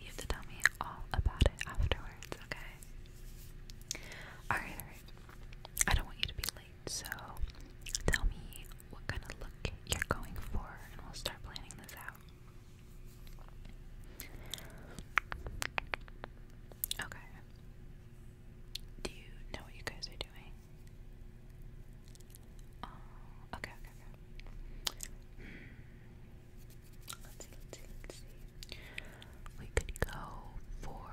you have to tell me all about it afterwards, okay? Alright, alright. I don't want you to be late, so tell me what kind of look you're going for, and we'll start planning this out. Okay. Do you know what you guys are doing? Oh, okay, okay, okay. Hmm. let's see, let's see. We could go for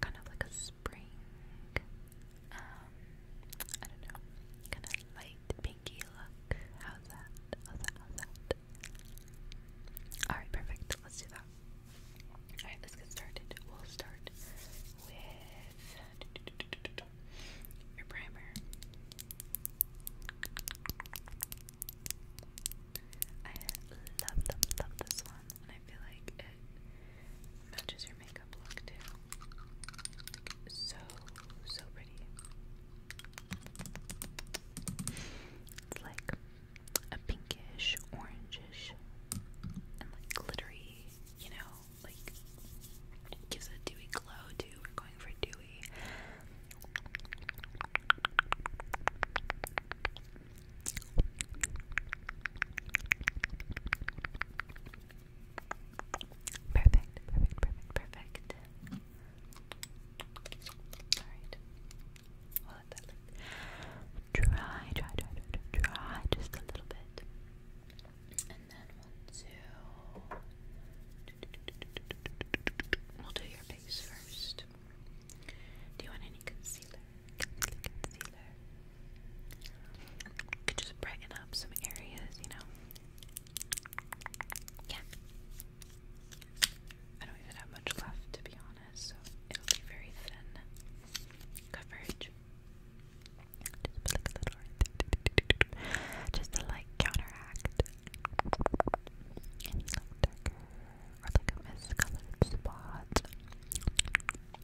kind of like a spring, um, I don't know, kind of light pinky look. How's that? How's that? How's that? Alright, perfect. Let's do that. Alright, let's get started. We'll start with your primer. I love, love, this one, and I feel like it matches your makeup look too. so, so pretty. It's like a pinkish, orangish, and like glittery, you know, like gives a dewy glow too. We're going for dewy. Perfect, perfect, perfect, perfect. Alright. We'll let that dry, just a little bit. And then we'll do. We'll do your face first. Do you want any concealer? Concealer. could just brighten up some areas, you know. Yeah. I don't even have much left, to be honest, so it'll be very thin coverage. Just, a little, just to like counteract and some darker or like a miscolored spot.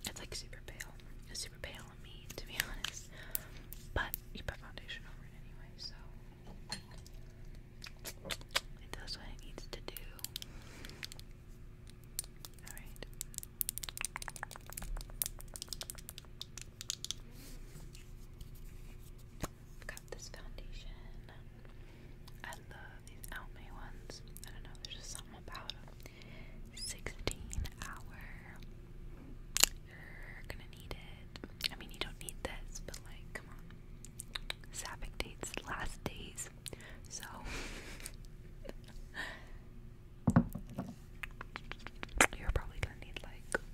It's like super pale. super pale on me, to be honest. But you put foundation over it anyway, so it does what it needs to do. Alright. I've got this foundation. I love these Almay ones. I don't know, there's just something about 16 hour. You're gonna need it. I mean, you don't need this, but like, come on. Sapphic dates, last days. So. You're probably gonna need like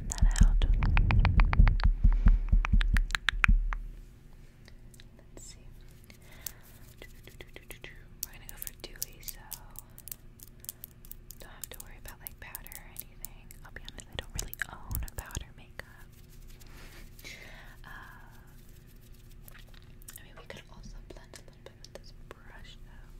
blend that Let's see. We're gonna go for Dewey, so don't have to worry about like powder or anything. I'll be honest, I don't really own a powder makeup. Uh, I mean, we could also blend a little bit with this brush, though.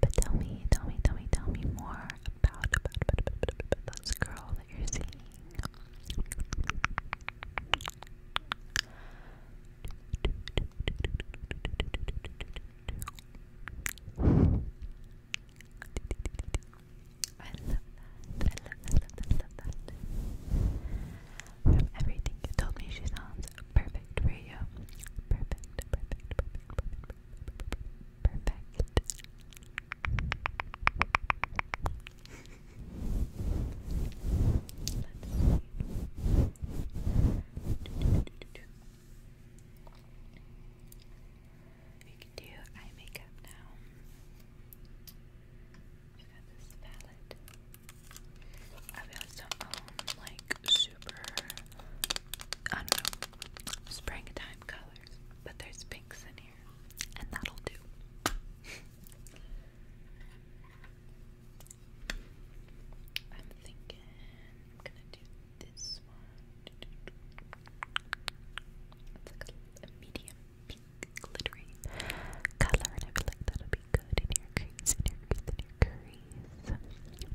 But tell me, tell me, tell me, tell me more about, about, about, about, about, about this girl that you're seeing. I love that. I love that. I love that. From everything you told me, she sounds perfect for you. Perfect, perfect, perfect, perfect, perfect. perfect. Let's see. We can do eye makeup now. We've got this like super, I don't know, springtime colors, but there's pinks in here, and that'll do. I'm thinking I'm gonna do this one. It's like a, a medium pink glittery color, and I feel like that'll be good in your crease, in your crease, There we go, there we go,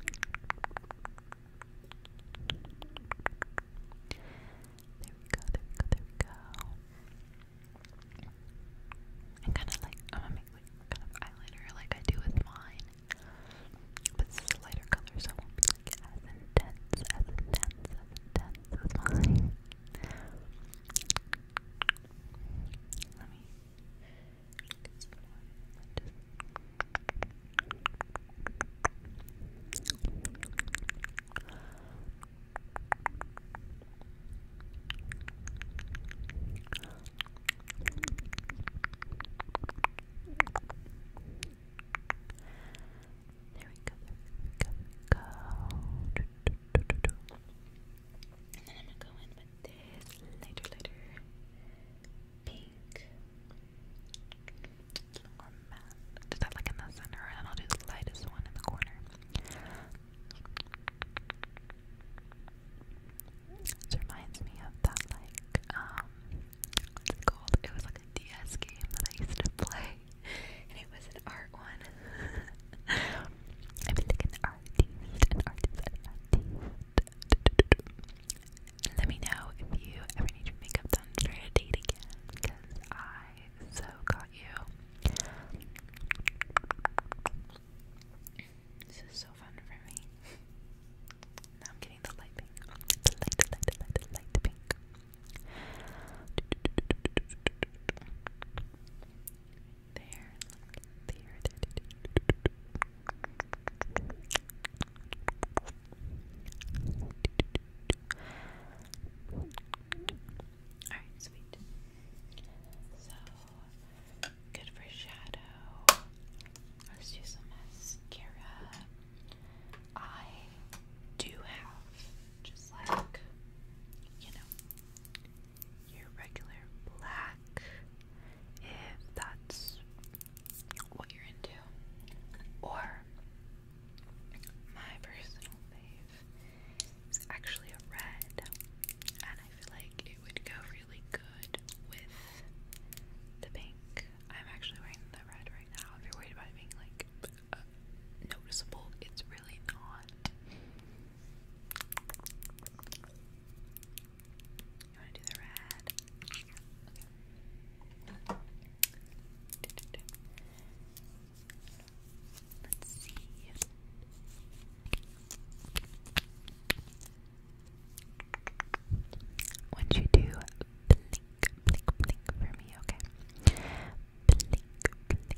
there we go. And kind of like, I'm gonna make like kind of eyeliner like I do with mine. But this lighter color, so won't be as intense, as intense, as intense as mine. Let me get some there we go, there we go, go. And then I'm gonna go in with this lighter, lighter pink. Or matte. like in the center, and I'll do the lightest one in the corner. This reminds me of that, like, um, what's It was like a DS game that I used to play it was an art one. I've been thinking artist, an artist, an artist. Let me know if you ever need your makeup done for a date again, I so got you. This is so fun for me. Now I'm getting the light pink. The light, the light, the light, the light pink. There, look, there, there. Alright, sweet. So, good for shadow. Let's do some mascara. I do have just like, you know, your regular black, if that's what you're into. Or, my personal fave is actually a red, and I feel like it would go really good with the pink. I'm actually wearing the red right now. you're worried about it like uh, noticeable. It's really not. You want to do the red? Okay. Let's see. Once you do, blink, blink, blink for me, okay? Blink, blink,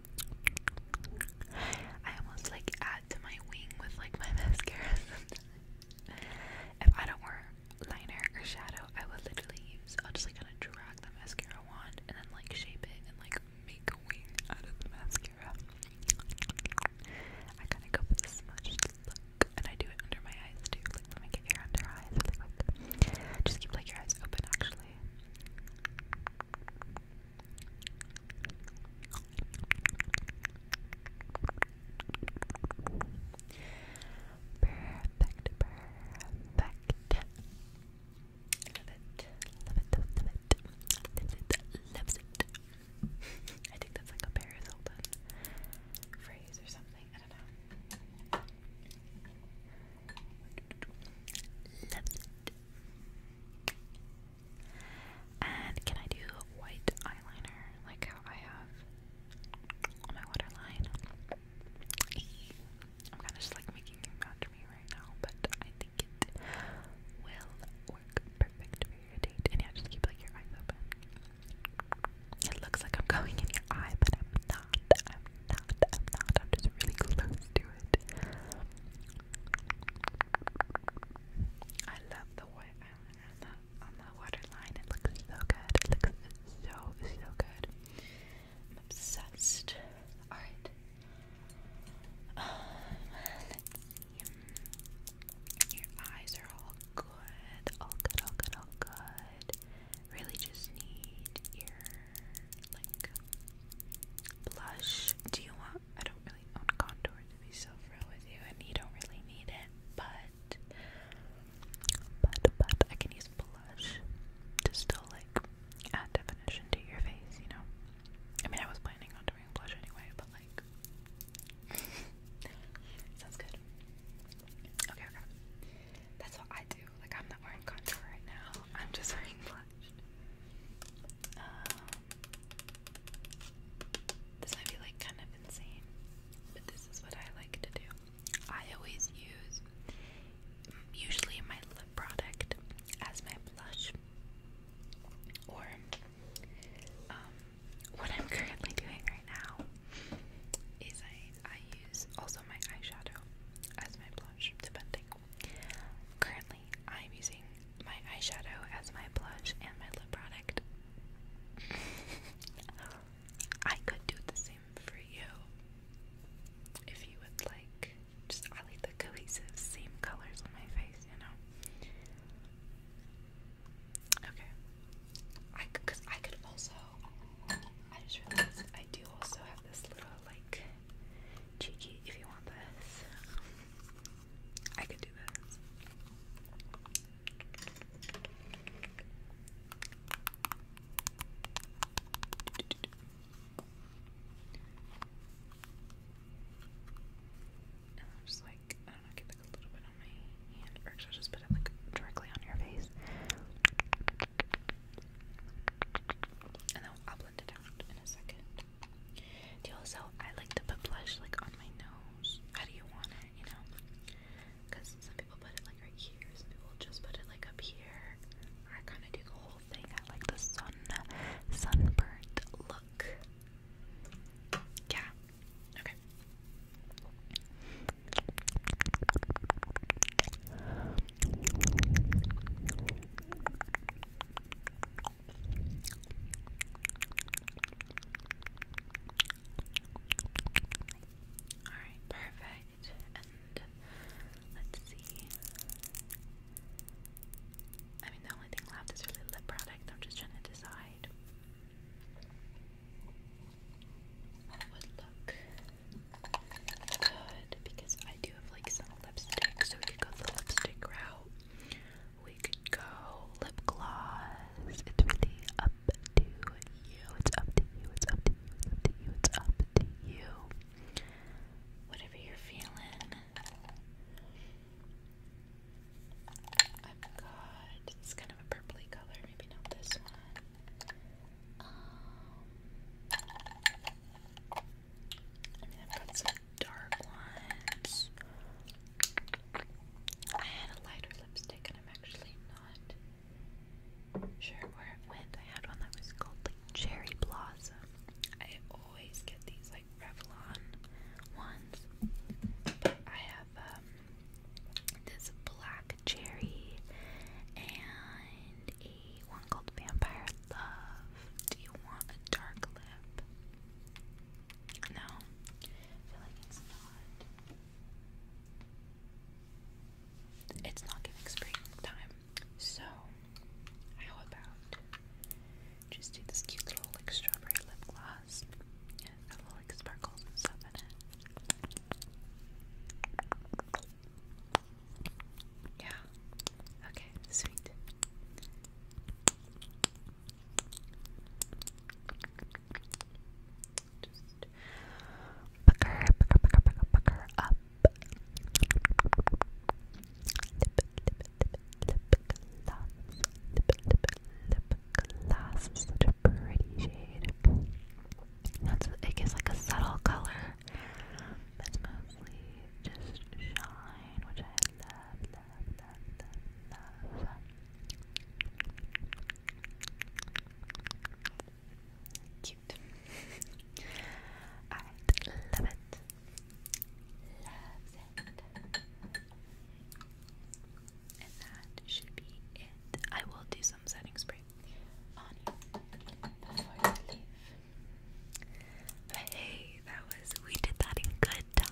I almost like add to my wing with like my mascara If I don't wear liner or shadow, I would literally use I'll just like kind of drag the mascara wand and then like shape it and like make a wing out of the mascara. I kind of go for the smudged look, and I do it under my eyes too. Like when I get under eyes, just keep like your eyes open actually. Perfect, perfect. Love it, love it, love it, love it, I think that's like a Paris phrase or something. I don't know it. And can I do white eyeliner like how I have on my waterline? I'm kind of just like making you match me right now, but I think it will work perfect for your date. And yeah, just keep like your eyes open. It looks like I'm going in your eye, but I'm not. I'm not, I'm just really close to it. I love the white on the, waterline, it looks so good, it looks so, so good. I'm obsessed. Alright. let's um, see. Your eyes are all good, all good, all good, all good. Really just need your like blush. Do you want? I don't really want contour to be so real with you, and you don't really need it, but but but I can use blush to still like add definition to your face, you know. I mean, I was planning on doing blush anyway, but like. Sounds good. Okay, okay. That's what I do. Like I'm not wearing contour right now. I'm just wearing blush. Um, this might be like kind of insane, but this is what I like to do. I always use usually my lip product as my blush, or um, what I'm currently doing right now is I I use also my eyeshadow as my blush, depending Currently, I'm using my eyeshadow as my blush and my lip product. I could do the same for you if you would like. Just I like the cohesive same colors on my face, you know. Okay. I because I could also. I just realized I do also have this little like cheeky if you want this. I could do this. And I'll just like, I don't know, get like a little bit on my hand, actually I'll just put it like directly on your face and then I'll blend it out in a second. also, I like to put blush like on my nose. How do you want it, you know? Because some people put it like right here, some people just put it like up here. I kind of do the whole thing. I like the sun, sunburnt look. Yeah. Okay. Alright, perfect. And let's see. I mean, the only thing left is really lip product. I'm just trying to decide what would look Good, because I do have like some lipstick, so we could go the lipstick route. We could go lip gloss. It's really up to you. It's up to you. It's up to you. It's up to you. It's up to you. Whatever you're feeling. I've got it's kind of a purpley color, maybe not this one. Um, and then I've some dark ones. I had a lighter lipstick, and I'm actually not sure where it went. I had one that was called like Cherry Blossom. I always get these like Revlon ones, but I have this black cherry and a one called Vampire Love. Do you want a dark lip? No, I feel like it's not. It's not giving springtime. So, how about just do this cute little like strawberry lip gloss? And it little like sparkles stuff in it. Yeah. Okay, sweet. Just pucker, pucker, pucker, pucker, pucker up. Lip, lip, lip, lip gloss. Lip, lip, lip gloss. Such a pretty shade. That's it gives like a subtle color. It's mostly just shine, which I love, love, love, love, love. Cute. I love it. Loves it. And that should be it. I will do some setting spray hey, that was we did that in good time.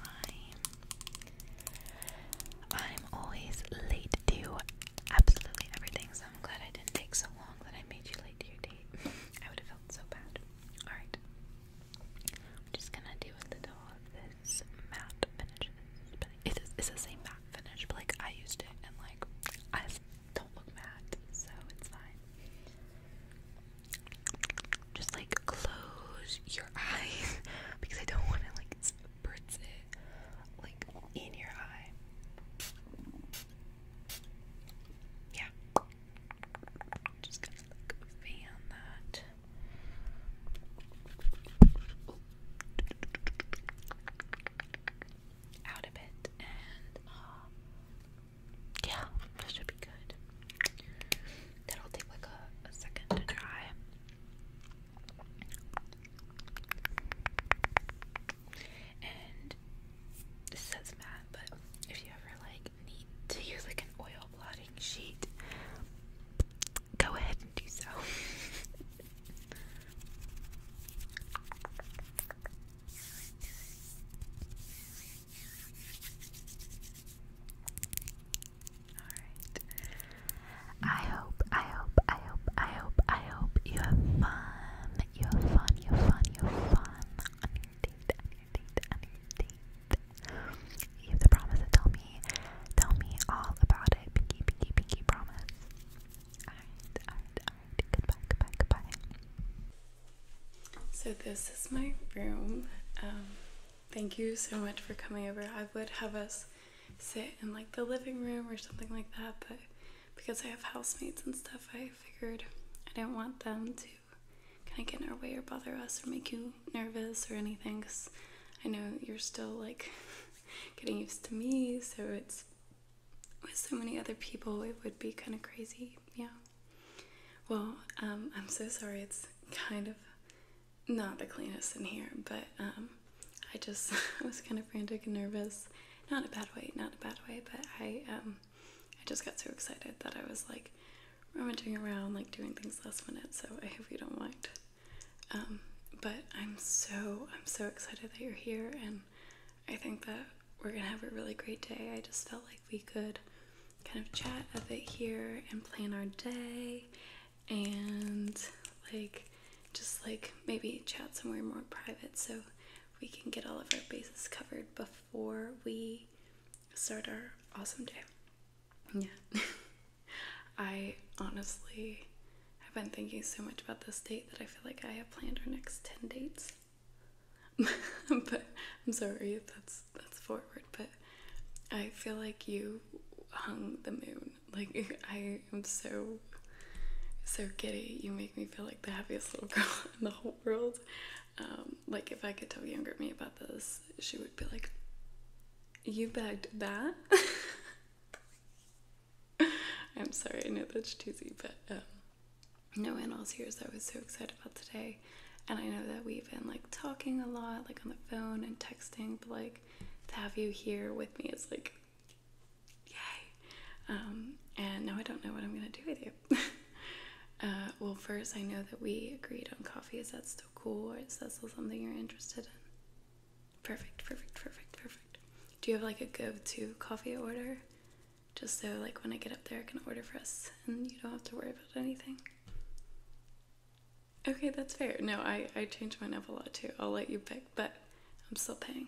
I'm always late to absolutely everything, so I'm glad I didn't take so long that I made you late to your date. I would have felt so bad. Alright. I'm just gonna do a little of this matte finish. It's, it's the same matte finish, but like I used it and like I don't look mad, so it's fine. Just like close your eyes because I don't want to like spritz it like in your eye. Yeah. Just gonna fan that out of it, and um, yeah, that should be good. That'll take like a, second to dry. And this says matte, but if you ever like need to use like an oil blotting sheet, go ahead and do so. I hope, I hope, I hope, I hope, I hope you have fun. You have fun, you have fun, you have fun on your date, date, date. You have the promise tell me, tell me all about it. Pinky, pinky, pinky promise. Alright, alright, so this is my room. Um, thank you so much for coming over. I would have us sit in like the living room or something like that, but because I have housemates and stuff, I figured I didn't want them to kind of get in our way or bother us or make you nervous or anything because I know you're still like getting used to me, so it's with so many other people, it would be kind of crazy. Yeah. Well, um, I'm so sorry. It's kind of not the cleanest in here, but um, I just was kind of frantic and nervous. Not a bad way, not a bad way, but I um, I just got so excited that I was like rummaging around, like doing things last minute. So I hope you don't mind. Um, but I'm so I'm so excited that you're here, and I think that we're gonna have a really great day. I just felt like we could kind of chat a bit here and plan our day and like just like maybe chat somewhere more private so we can get all of our bases covered before we start our awesome day. Yeah. I honestly I've been thinking so much about this date that I feel like I have planned our next 10 dates. but I'm sorry that's that's forward, but I feel like you hung the moon. Like I am so so giddy. You make me feel like the happiest little girl in the whole world. Um, like if I could tell younger me about this, she would be like, "You begged that." I'm sorry, I know that's cheesy, but um, no, in all serious, I was so excited about today. And I know that we've been like talking a lot, like on the phone and texting, but like to have you here with me is like, yay. Um, and now I don't know what I'm gonna do with you. Uh, well, first, I know that we agreed on coffee. Is that still cool? Or is that still something you're interested in? Perfect, perfect, perfect, perfect. Do you have like a go-to coffee order? Just so like when I get up there I can order for us and you don't have to worry about anything. Okay, that's fair. No, I, I change mine up a lot too. I'll let you pick, but I'm still paying.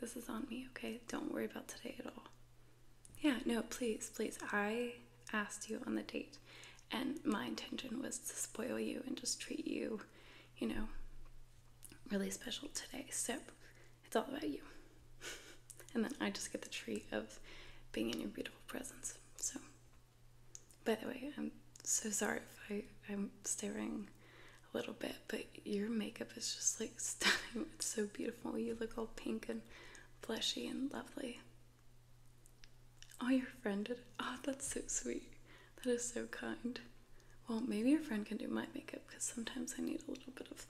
This is on me, okay? Don't worry about today at all. Yeah, no, please, please. I asked you on the date, and my intention was to spoil you and just treat you you know, really special today. So it's all about you. and then I just get the treat of being in your beautiful presence. So, by the way, I'm so sorry if I, I'm staring a little bit, but your makeup is just like stunning. It's so beautiful. You look all pink and fleshy and lovely. Oh, your friend did. Oh, that's so sweet. That is so kind. Well, maybe your friend can do my makeup because sometimes I need a little bit of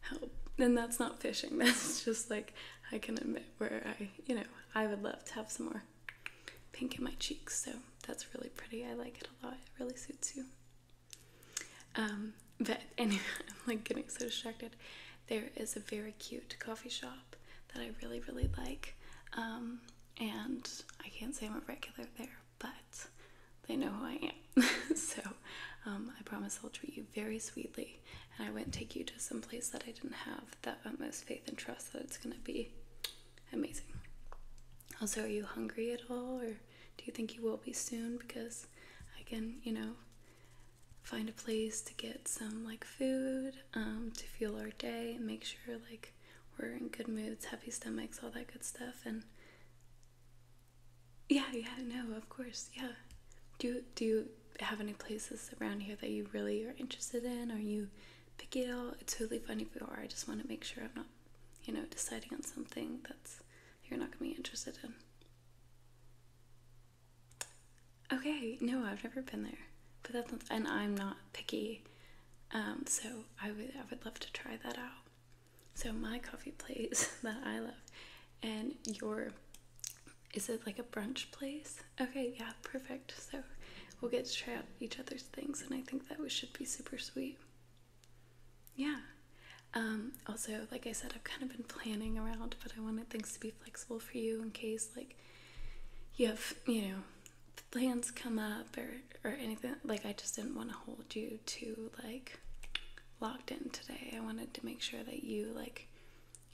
help. And that's not fishing, that's just like I can admit where I, you know, I would love to have some more pink in my cheeks. So that's really pretty. I like it a lot, it really suits you. Um, but anyway, I'm like getting so distracted. There is a very cute coffee shop that I really, really like. Um, and I can't say I'm a regular there, but they know who I am. so um, I promise I'll treat you very sweetly, and I wouldn't take you to some place that I didn't have that utmost faith and trust that it's going to be amazing. Also, are you hungry at all, or do you think you will be soon? Because I can, you know, find a place to get some like food um, to fuel our day and make sure like we're in good moods, happy stomachs, all that good stuff. And yeah, yeah, no, of course, yeah. Do do you have any places around here that you really are interested in, or you picky at all? It's totally fine if you are. I just want to make sure I'm not, you know, deciding on something that's you're not gonna be interested in. Okay, no, I've never been there, but that's and I'm not picky um, so I would I would love to try that out. So my coffee place that I love, and your, is it like a brunch place? Okay, yeah, perfect. So we'll get to try out each other's things, and I think that we should be super sweet. Yeah. Um, also, like I said, I've kind of been planning around, but I wanted things to be flexible for you in case like you have you know plans come up or or anything like I just didn't want to hold you to like locked in today. I wanted to make sure that you like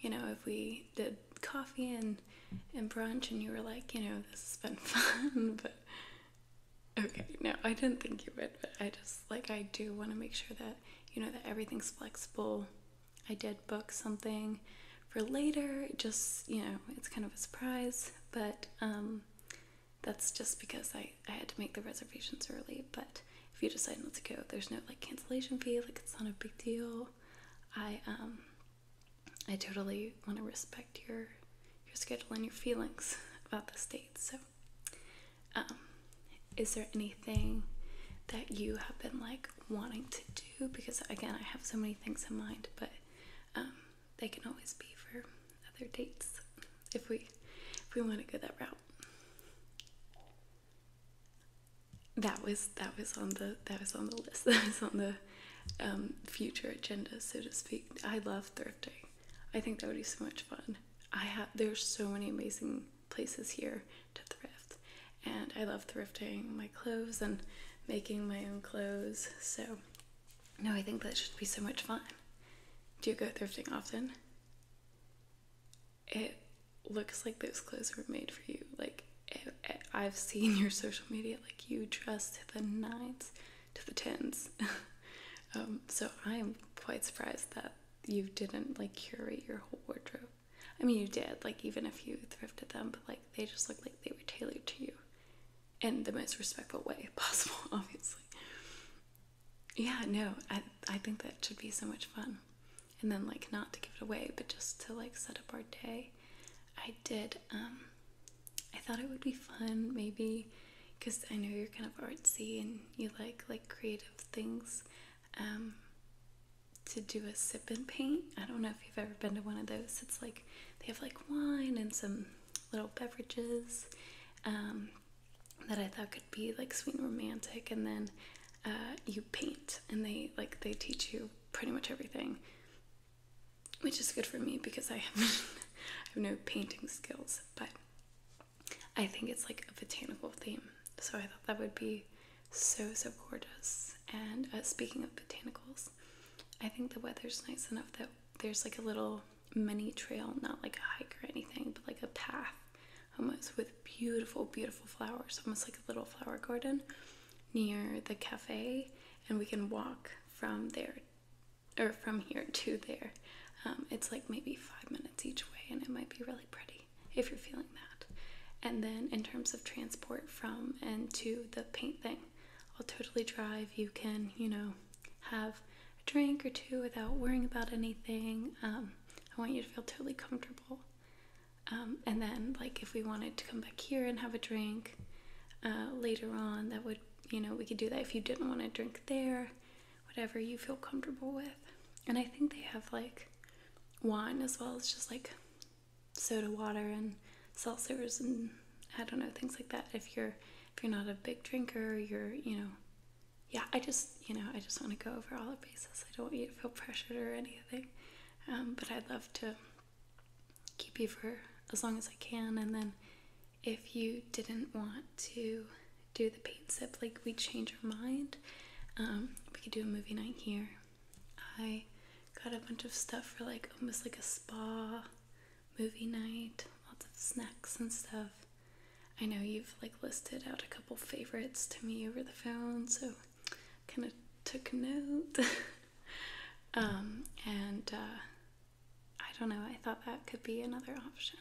you know if we did coffee and and brunch and you were like, you know, this has been fun, but okay, no, I didn't think you would, but I just like I do want to make sure that you know that everything's flexible. I did book something for later, just you know, it's kind of a surprise, but um that's just because I, I had to make the reservations early. But if you decide not to go, there's no like cancellation fee, like it's not a big deal. I um I totally want to respect your your schedule and your feelings about this date. So um is there anything that you have been like wanting to do? Because again I have so many things in mind, but um they can always be for other dates if we if we want to go that route. That was that was on the that was on the list. That was on the um, future agenda, so to speak. I love thrifting. I think that would be so much fun. I have there's so many amazing places here to thrift, and I love thrifting my clothes and making my own clothes. So no, I think that should be so much fun. Do you go thrifting often? It looks like those clothes were made for you. Like, eh, eh, I've seen your social media, like, you dress to the nines, to the tens. um, so I'm quite surprised that you didn't, like, curate your whole wardrobe. I mean, you did, like, even if you thrifted them, but, like, they just look like they were tailored to you in the most respectful way possible, obviously. Yeah, no, I, I think that should be so much fun. And then, like, not to give it away, but just to, like, set up our day. I did, um, I thought it would be fun, maybe, because I know you're kind of artsy and you like, like, creative things, um, to do a sip and paint. I don't know if you've ever been to one of those. It's like, they have, like, wine and some little beverages um, that I thought could be like sweet and romantic. And then uh, you paint, and they like they teach you pretty much everything, which is good for me because I have no painting skills, but I think it's like a botanical theme. So I thought that would be so so gorgeous. And uh, speaking of botanicals, I think the weather's nice enough that there's like a little mini trail, not like a hike or anything, but like a path almost with beautiful, beautiful flowers, almost like a little flower garden near the cafe. And we can walk from there or from here to there. Um, it's like maybe five minutes each way, and it might be really pretty if you're feeling that. And then, in terms of transport from and to the paint thing, I'll totally drive. You can, you know, have a drink or two without worrying about anything. Um, I want you to feel totally comfortable. Um, and then, like, if we wanted to come back here and have a drink uh, later on, that would, you know, we could do that if you didn't want to drink there, whatever you feel comfortable with. And I think they have, like, wine as well as just, like, soda water and seltzers and I don't know things like that. If you're if you're not a big drinker, you're you know, yeah. I just you know I just want to go over all the bases. I don't want you to feel pressured or anything, um, but I'd love to keep you for as long as I can. And then if you didn't want to do the paint sip, like we change our mind, um, we could do a movie night here. I got a bunch of stuff for like almost like a spa movie night, lots of snacks and stuff. I know you've like listed out a couple favorites to me over the phone, so kind of took note. Um, and uh, I don't know, I thought that could be another option.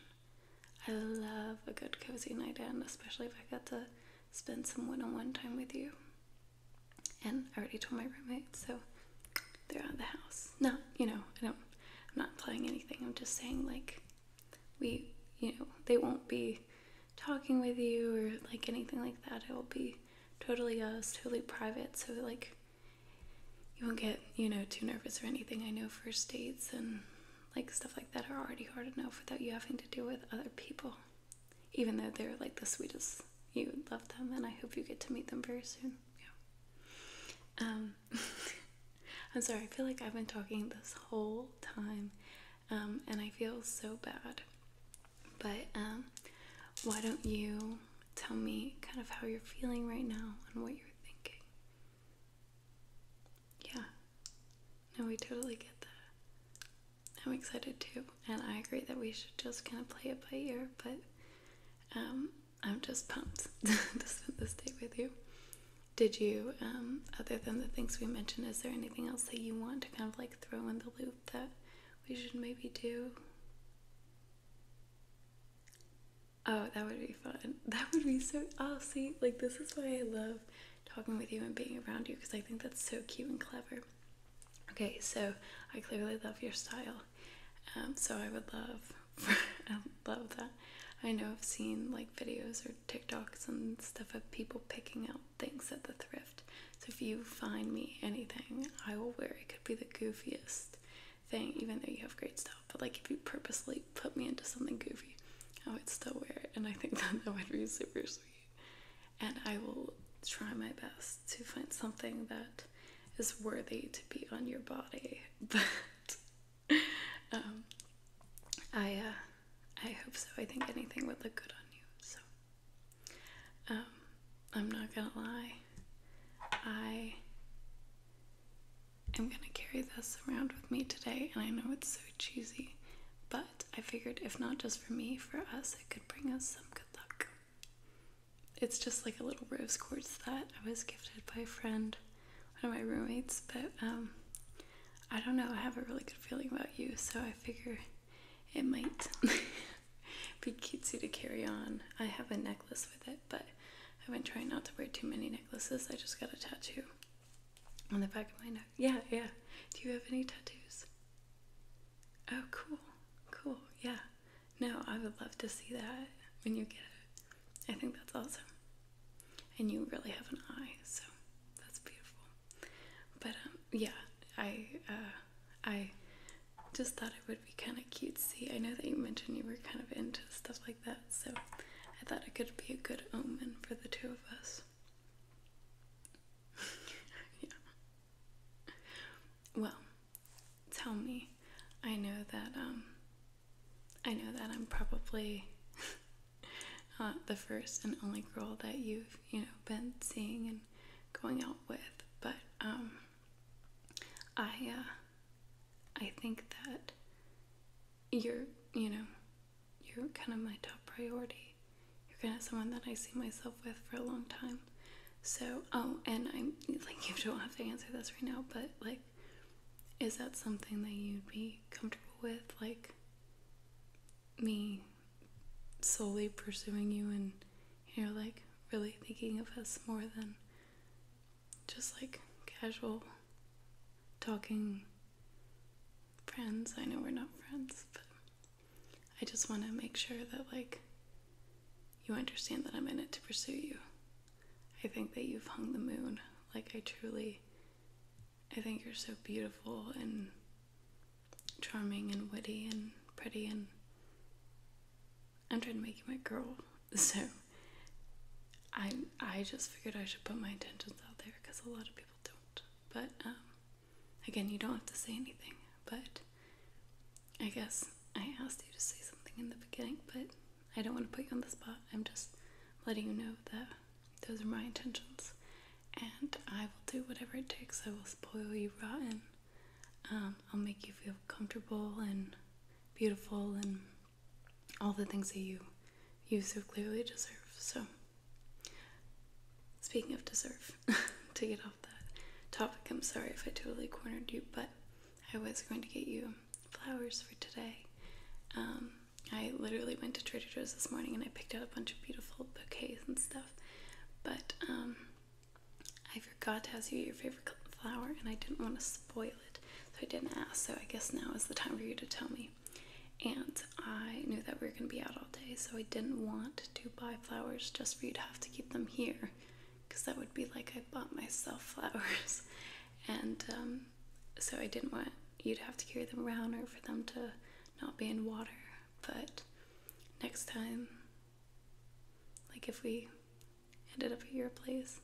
I love a good cozy night in, especially if I got to spend some one on one time with you. And I already told my roommate, so they're out of the house. No, you know, I don't. I'm not implying anything. I'm just saying like we, you know, they won't be talking with you or like anything like that. It will be totally us, totally private. So like you won't get, you know, too nervous or anything. I know first dates and like stuff like that are already hard enough without you having to deal with other people, even though they're like the sweetest you love them, and I hope you get to meet them very soon. Yeah. Um, I'm sorry. I feel like I've been talking this whole time, um, and I feel so bad. But um, why don't you tell me kind of how you're feeling right now and what you're thinking? Yeah. No, we totally get that. I'm excited too and I agree that we should just kind of play it by ear, but um, I'm just pumped to spend this day with you. Did you, um, other than the things we mentioned, is there anything else that you want to kind of like throw in the loop that we should maybe do? Oh, that would be fun. That would be so. Oh, see, like this is why I love talking with you and being around you because I think that's so cute and clever. Okay, so I clearly love your style. Um, so I would love, I love that. I know I've seen like videos or TikToks and stuff of people picking out things at the thrift. So if you find me anything, I will wear it. Could be the goofiest thing, even though you have great stuff. But like if you purposely put me into something goofy, I would still wear it, and I think that that would be super sweet. And I will try my best to find something that is worthy to be on your body. But um, I uh, I hope so. I think anything would look good on you. So um, I'm not gonna lie. I am gonna carry this around with me today, and I know it's so cheesy, but I figured if not just for me, for us, it could bring us some good luck it's just like a little rose quartz that I was gifted by a friend, one of my roommates. But um, I don't know, I have a really good feeling about you, so I figure it might be you to carry on. I have a necklace with it, but I've been trying not to wear too many necklaces. I just got a tattoo on the back of my neck. Yeah, yeah. Do you have any tattoos? Oh, cool, cool, yeah. No, I would love to see that when you get it. I think that's awesome. And you really have an eye, so that's beautiful. But um, yeah, I uh, I just thought it would be kind of cute. See, I know that you mentioned you were kind of into stuff like that, so I thought it could be a good omen for the two of us. yeah. Well, tell me. I know that um, I know that I'm probably not uh, the first and only girl that you've, you know, been seeing and going out with, but um I uh I think that you're, you know, you're kind of my top priority. You're kind of someone that I see myself with for a long time. So, oh, and I'm like, you don't have to answer this right now, but like, is that something that you'd be comfortable with? Like, me solely pursuing you and, you are like, really thinking of us more than just like casual talking friends. I know we're not friends, but I just want to make sure that, like, you understand that I'm in it to pursue you. I think that you've hung the moon. Like, I truly, I think you're so beautiful and charming and witty and pretty, and I'm trying to make you my girl. So, I, I just figured I should put my intentions out there because a lot of people don't. But, um, again, you don't have to say anything, but I guess I asked you to say something in the beginning, but I don't want to put you on the spot. I'm just letting you know that those are my intentions. And I will do whatever it takes. I will spoil you rotten. Um, I'll make you feel comfortable and beautiful and all the things that you you so clearly deserve. So, speaking of deserve, take it off that topic. I'm sorry if I totally cornered you, but I was going to get you flowers for today. Um, I literally went to Trader Joe's this morning and I picked out a bunch of beautiful bouquets and stuff, but um, I forgot to ask you your favorite flower and I didn't want to spoil it, so I didn't ask. So I guess now is the time for you to tell me. And I knew that we were going to be out all day, so I didn't want to buy flowers just for you to have to keep them here because that would be like I bought myself flowers, and um, so I didn't want you to have to carry them around or for them to not be in water. But next time, like if we ended up at your place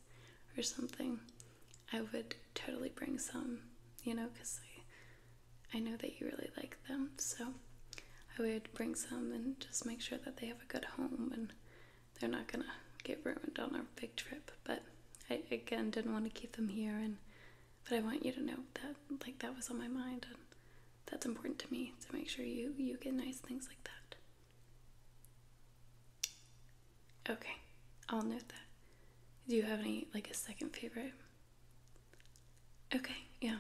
or something, I would totally bring some, you know, because I, I know that you really like them. So I would bring some and just make sure that they have a good home and they're not gonna get ruined on our big trip. But I again didn't want to keep them here and but I want you to know that like that was on my mind and that's important to me to make sure you you get nice things like that. Okay, I'll note that. Do you have any like a second favorite? Okay, yeah.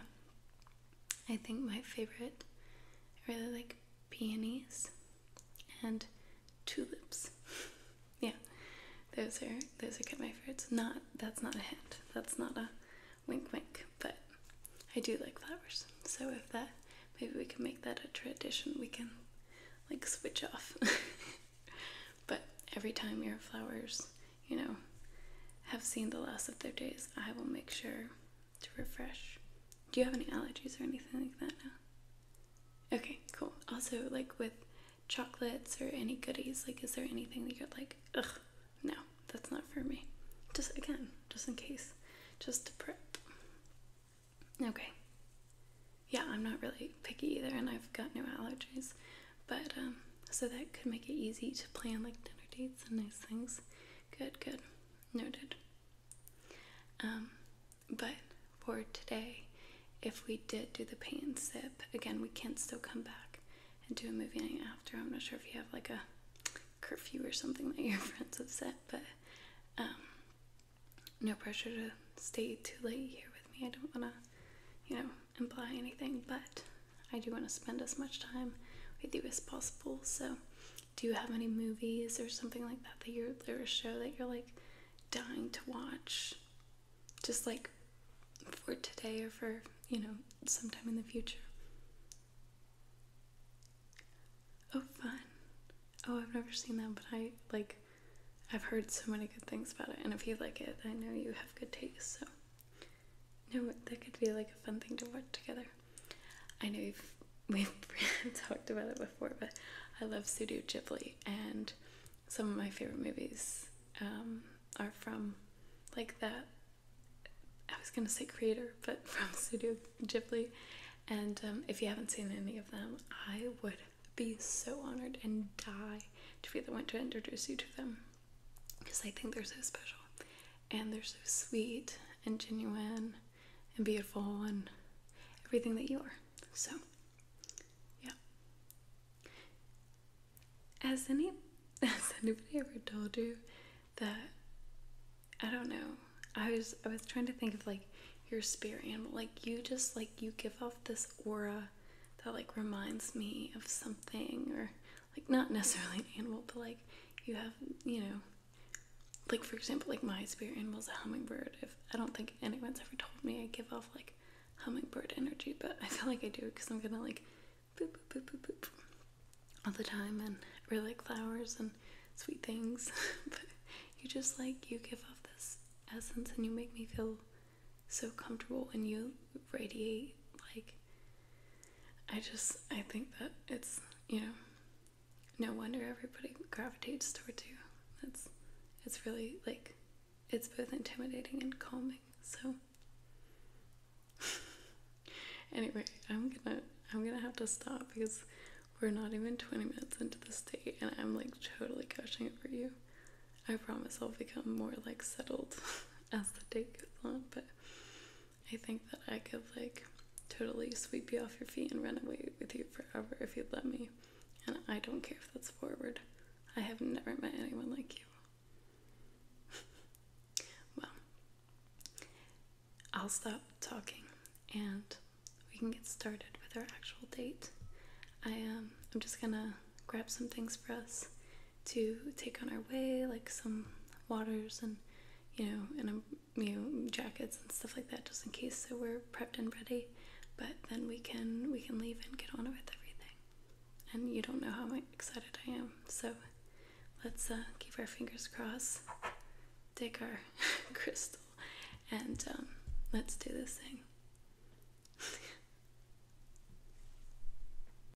I think my favorite, I really like peonies and tulips. yeah, those are those are kind of my favorites. Not that's not a hint. That's not a wink, wink. But I do like flowers. So if that, maybe we can make that a tradition. We can like switch off. but every time have flowers you know, have seen the last of their days, I will make sure to refresh. Do you have any allergies or anything like that now? Okay, cool. Also, like with chocolates or any goodies, like, is there anything that you're like, ugh, no, that's not for me? Just again, just in case, just to prep. Okay. Yeah, I'm not really picky either, and I've got no allergies, but um, so that could make it easy to plan like dinner dates and nice things. Good, good. Noted. Um, but for today, if we did do the paint and sip, again, we can still come back and do a movie night after. I'm not sure if you have like a curfew or something that your friends have set, but um, no pressure to stay too late here with me. I don't want to, you know, imply anything, but I do want to spend as much time with you as possible. So, do you have any movies or something like that that you're or a show that you're like dying to watch? Just like for today or for, you know, sometime in the future. Oh, fun. Oh, I've never seen that, but I like I've heard so many good things about it. And if you like it, I know you have good taste. So no, that could be like a fun thing to watch together. I know we've talked about it before, but I love Studio Ghibli, and some of my favorite movies um, are from like that. I was gonna say creator, but from Studio Ghibli. And um, if you haven't seen any of them, I would be so honored and die to be the one to introduce you to them because I think they're so special and they're so sweet and genuine and beautiful and everything that you are. So, yeah. Has any has anybody ever told you that I don't know. I was I was trying to think of like your spirit animal. Like you just like you give off this aura that like reminds me of something or like not necessarily an animal, but like you have, you know, like for example, like my spirit animal is a hummingbird. If I don't think anyone's ever told me I give off like hummingbird energy, but I feel like I do because I'm gonna like boop boop boop boop boop all the time, and I really like flowers and sweet things. but you just like you give off this essence, and you make me feel so comfortable, and you radiate like I just I think that it's you know no wonder everybody gravitates towards you. It's it's really like it's both intimidating and calming. So anyway, I'm gonna I'm gonna have to stop because we're not even 20 minutes into the date and I'm like totally it for you. I promise I'll become more like settled as the date goes on, but I think that I could like totally sweep you off your feet and run away with you forever if you'd let me. And I don't care if that's forward. I have never met anyone like you. well, I'll stop talking and we can get started with our actual date. I am. Um, I'm just gonna grab some things for us to take on our way, like some waters and you know, and um, you know, jackets and stuff like that, just in case so we're prepped and ready. But then we can we can leave and get on with everything. And you don't know how excited I am. So let's uh, keep our fingers crossed, take our crystal, and um, let's do this thing.